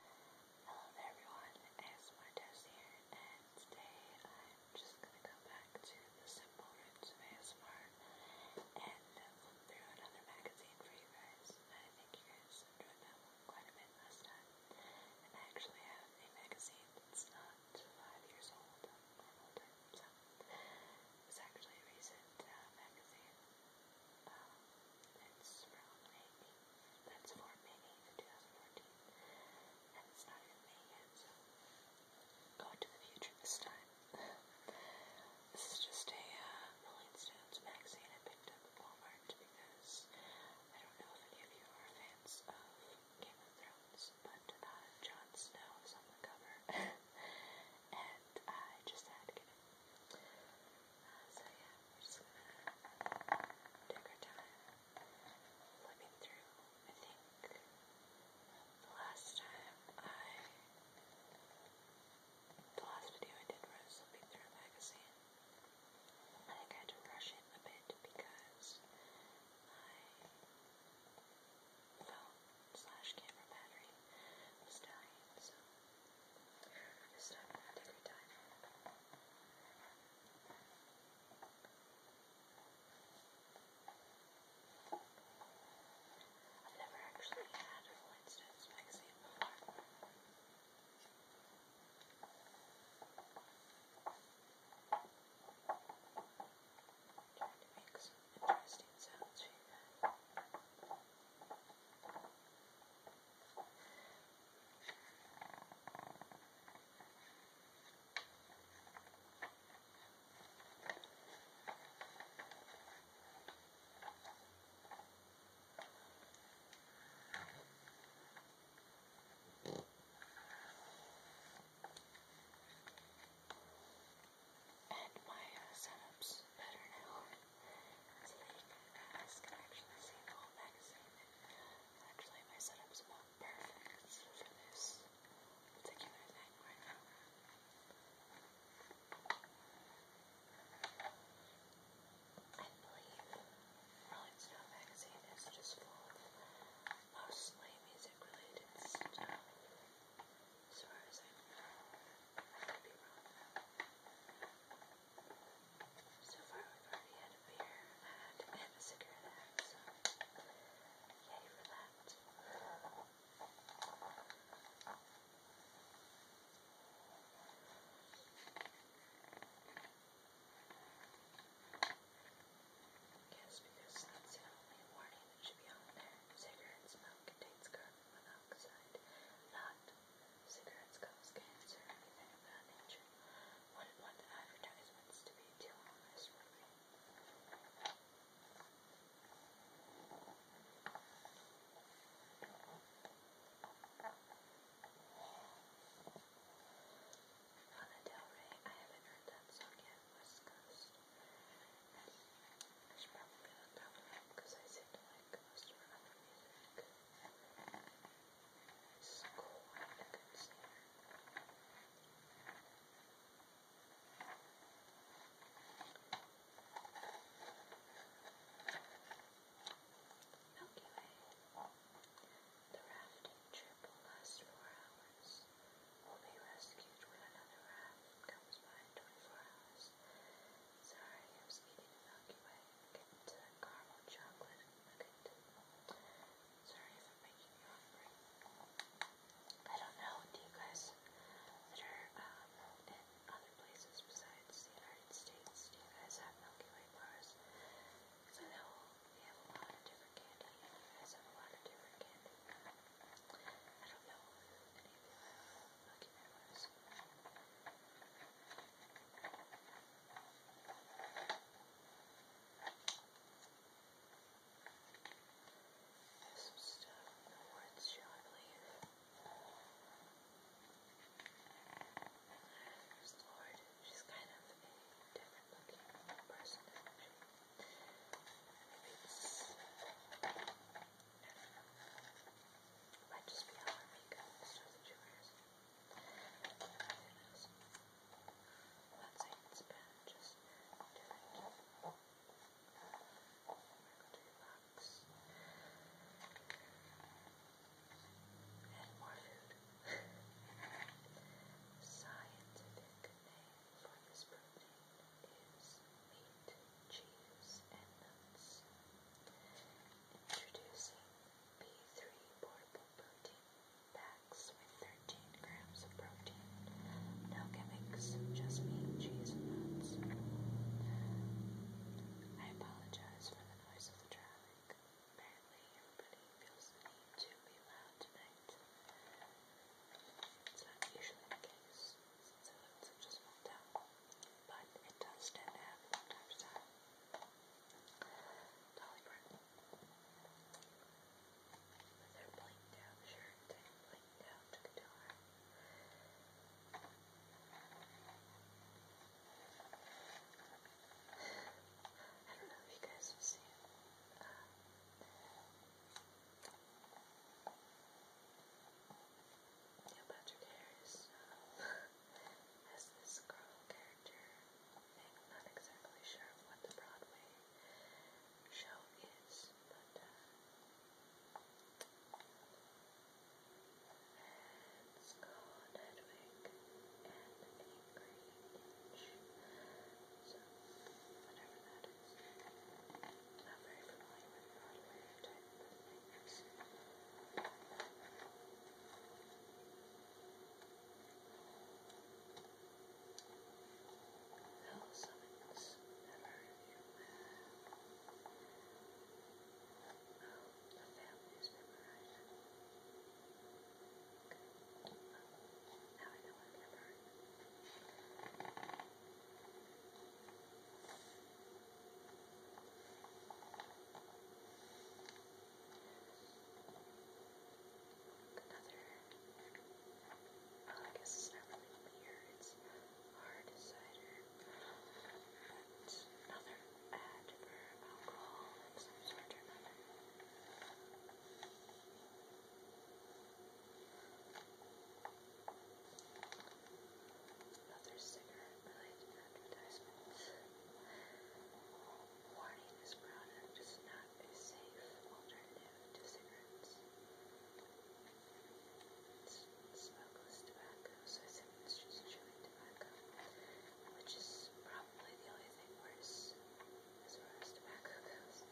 Hello there everyone, ASMR Tess here, and today I'm just going to go back to the simple roots of ASMR and flip through another magazine for you guys. I think you guys enjoyed that one quite a bit last time. And I actually have a magazine that's not five years old or older, so it's actually a recent uh, magazine. Um, it's from 1998, that's for May 8th, 2014. And it's not even May yet, so going to the future this time. this is just a uh, Rolling Stones magazine I picked up at Walmart because I don't know if any of you are fans of Game of Thrones, but uh, Jon Snow is on the cover. and I just had to get it so yeah, we're just gonna take our time flipping through. I think the last time I, the last video I did was flipping through magazine. I think I had rush it a bit because my phone slash camera battery was dying, so. I just don't have that every time. I've never actually had a Flintstones magazine before. I'm trying to make some interesting sounds for you guys. And my uh, setup's better now. This can actually save a whole magazine. Actually, my setup's about perfect for this particular thing right now. I believe Rolling Stone magazine is just full of mostly music related stuff. So far as I know. I have had a beer ad and a cigarette yay for that. Yes, because that's the only warning that should be on there. Cigarettes smoke contains carbon monoxide, not Cigarettes cause cancer, anything of that nature. Wouldn't want the advertisements to be too onerous for me. Lana Del Rey, I haven't heard that song yet, West Coast. I should probably look that one up because I seem to like most of her other music. Score, I think it's there. Milky Way. The rafting trip will last four hours. We'll be rescued when another raft comes by in 24 hours. Sorry, I was eating the Milky Way. Get to caramel chocolate nugget. Sorry if I'm making you hungry. I don't know. Do you guys that are um, in other places besides the United States? Do you guys have Milky Way bars? Because I know we have a lot of different candy. You guys have a lot of different candy. I don't know if any of you have Lucky Memories. There's some stuff in the woods show, I believe. There's Lord. She's kind of a different looking person, actually. Maybe it's... I might just be all the makeup and stuff that she wears. It is. I'm not saying it's bad, just do it. We're going to relax. And more food. Scientific name for this protein cheese, and nuts. Introducing B3 portable protein packs with 13 grams of protein. No gimmicks, just meat, cheese, and nuts. I apologize for the noise of the traffic. Apparently, everybody feels the need to be loud tonight. It's not usually the case. So it's just moved out. But it does tend to happen from time to time. Dolly Parton. With her blinked out shirt and blinked out guitar. I don't know if you guys have seen uh, Neil Patrick Harris um, has this girl character, and I'm not exactly sure what the Broadway show is, but uh, it's called Hedwig and Angry Inch. So, whatever that not very familiar with the hardware type of things. Hell summons never you Oh, the family is memorized. Now I know I've never heard. Another, well, I guess it's not really beer, it's hard cider. It's another ad for alcohol of some sort or another. Other cigarette-related advertisements. Warning, this product is not a safe alternative to cigarettes. It's smokeless tobacco, so I think it's just chewing tobacco, which is probably the only thing worse as far as tobacco goes,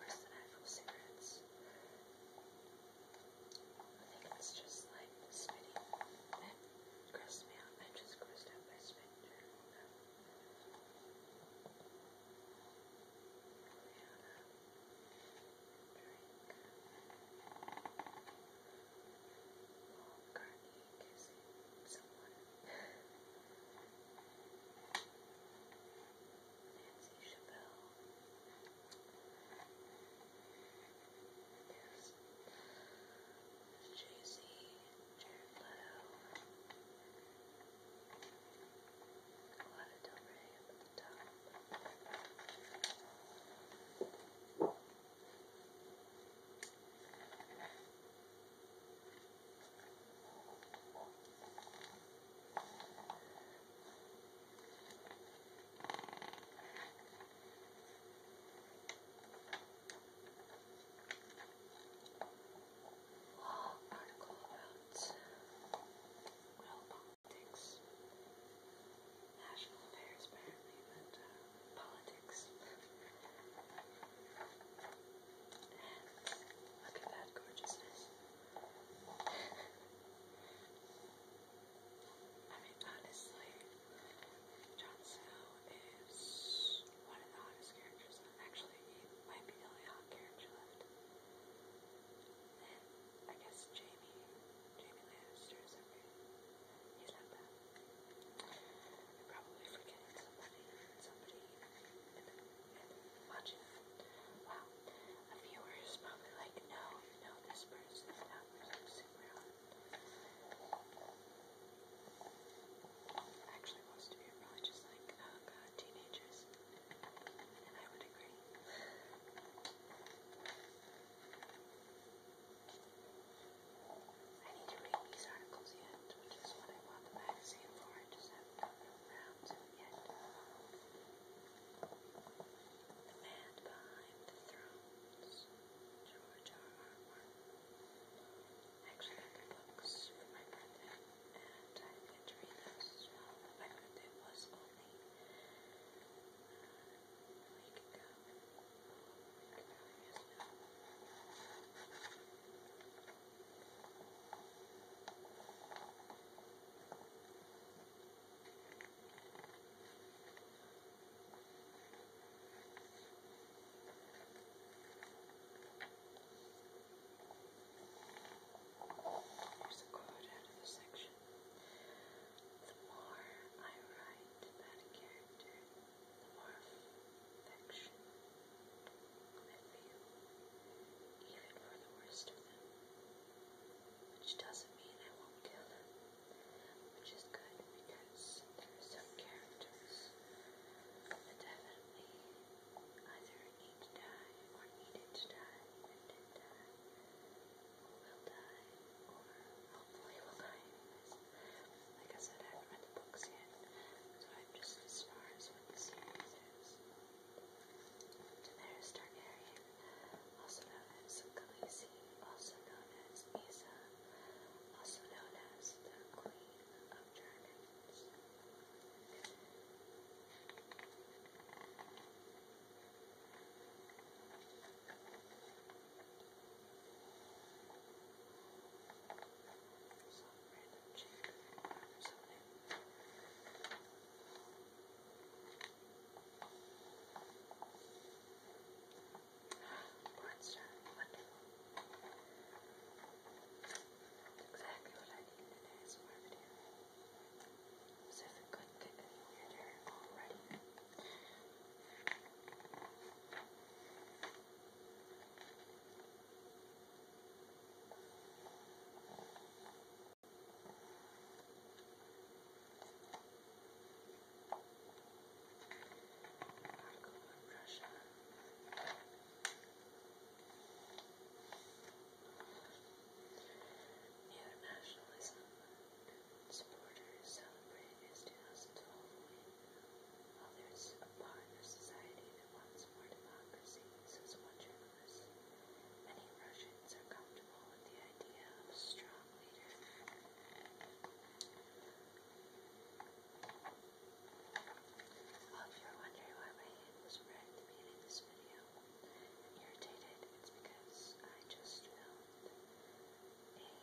worse than actual cigarettes. I think it's just like spitting. That grossed me out. I just grossed out by spitting during all that. Rihanna, drink. Paul McCartney kissing someone. Nancy Chappelle. Yes. Jay-Z, Jared Leto. Lana Del Rey up at the top article about world politics, national affairs apparently, but uh, politics. Look at that gorgeousness. I mean, honestly, Jon Snow is one of the hottest characters. Actually, he might be the only hot character left. And I guess Jamie, Jamie Lannister is okay. He's not bad. I'm probably forgetting somebody, somebody in the watching it. Wow. A viewer is probably like, no, you know this person, that was super hot. Actually, most of you are probably just like, oh god, teenagers. And I would agree. I need to read these articles yet, which is what I bought the magazine for. I just haven't gotten around to yet. The man behind the thrones, George R. R. Martin. I actually got the books for my birthday, and I get to read those as well. But my birthday was only uh, a week ago. About years ago. There's a quote out of the section. The more I write about a character, the more affection I feel, even for the worst of them. Which doesn't mean I won't kill them, which is good because some characters definitely either need to die or needed to die and did die, will die, or hopefully will die Like I said, I haven't read the books yet, so I just as far as what the series is. Daenerys Targaryen, also known as Khaleesi, also known as Isa, also known as the Queen of Dragons random chick or something. Monster, wonderful. That's exactly what I need today is more video. So if it couldn't get any weirder already. Nationalism supporters celebrated his 2012 win, while there's a part of society that wants calls democracy, says one Many Russians are comfortable with the idea of a strong leader. if you're wondering why my hand was red at the beginning of this video irritated, it's because I just filmed a video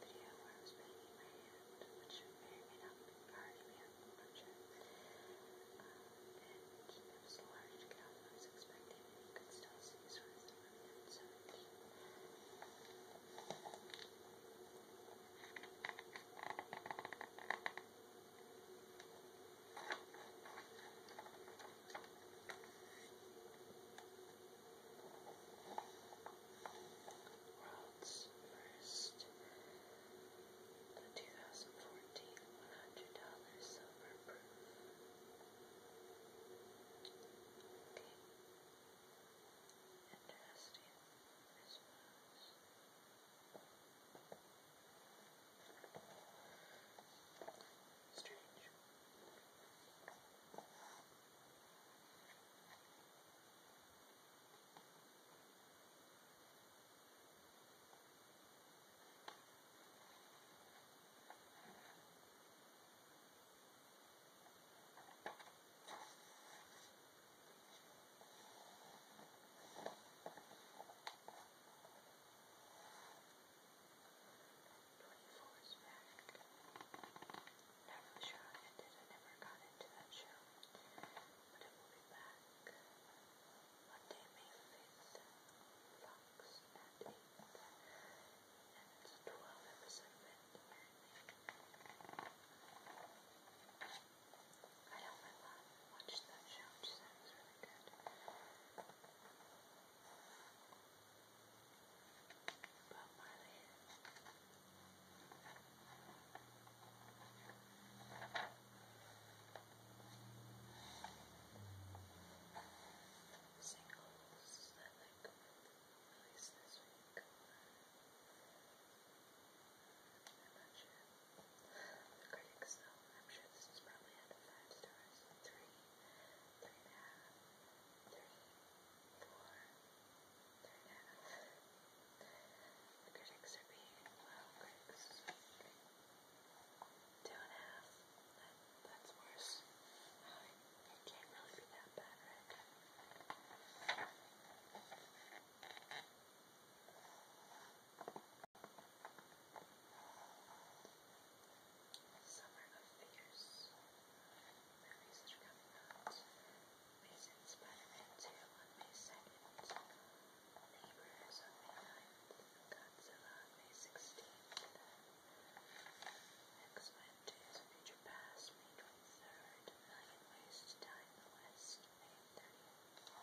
where I was banging my hand, which may or may cars we had a bunch of. Um, and it was a large crowd I was expecting, and you could still see sort of some of them, so Wow, results first. The 2014 $100 silver proof. Okay. Interesting response. Strange. Twenty-four is perfect never sure how I did. I never got into that show. But it will be back Monday, May 5th, Fox at 8. And it's a 12 episode event. I know my mom watched that show. She said it was really good. But Marley singles that like released this week. I'm not sure. The critics though, I'm sure this is probably out of five stars. Three, three and a half, three, four, the critics are being, well, critics, two and a half. That, that's worse. Oh, it can't really be that bad, right? Summer of Figures. Movies that are coming out reasons benefits you on May 2nd, Laborers on May 9th, Godzilla on May 16th, X-Men Days of Future Past, May 23rd, A Million Ways to Die in the West, May 30th.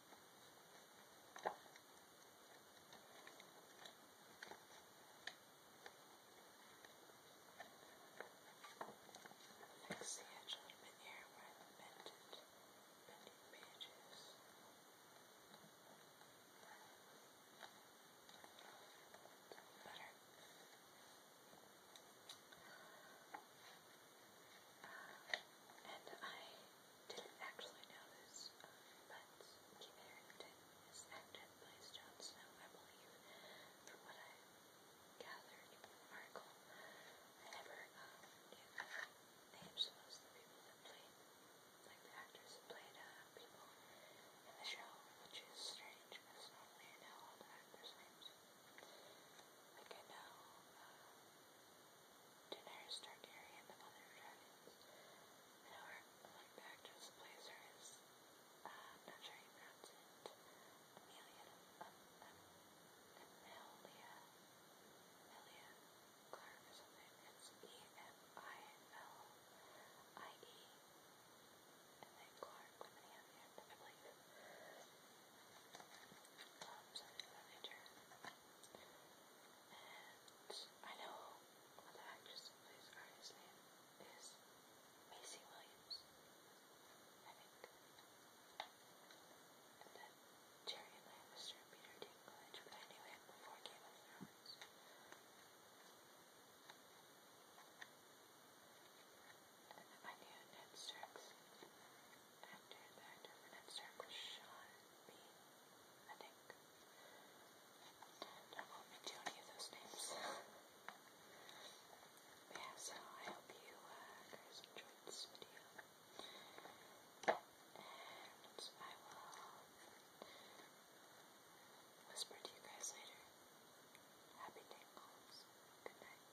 Next, see a gentleman here with bended, bending pages. Better. Um, and I didn't actually know this, but Kit Harington is acted by Jon Snow, I believe, from what I gathered from the article. I never um, knew that. They just most of the people that played, like the actors that played uh, people in the show, which is strange because normally I know all the actors' names. Like I know, uh, to nurse Targaryen and the mother of dragons. I know her like the actress plays her is uh I'm not sure you pronounce it. Amelia um, um Amelia Amelia Clark or something. It's E M I L I E and then Clark with an E on the end, I believe. Um, something about nature. And I know the actress who plays Arya's name is Macy Williams, I think. And then Jerry Lancaster and Peter Dinklage, but I knew him before Game of Thrones. And I knew Ned Starks. After that, the next circle I think. There won't be too many of those names. yeah, so I hope you guys enjoyed this video. And I will whisper to you guys later. Happy tingles. Good night.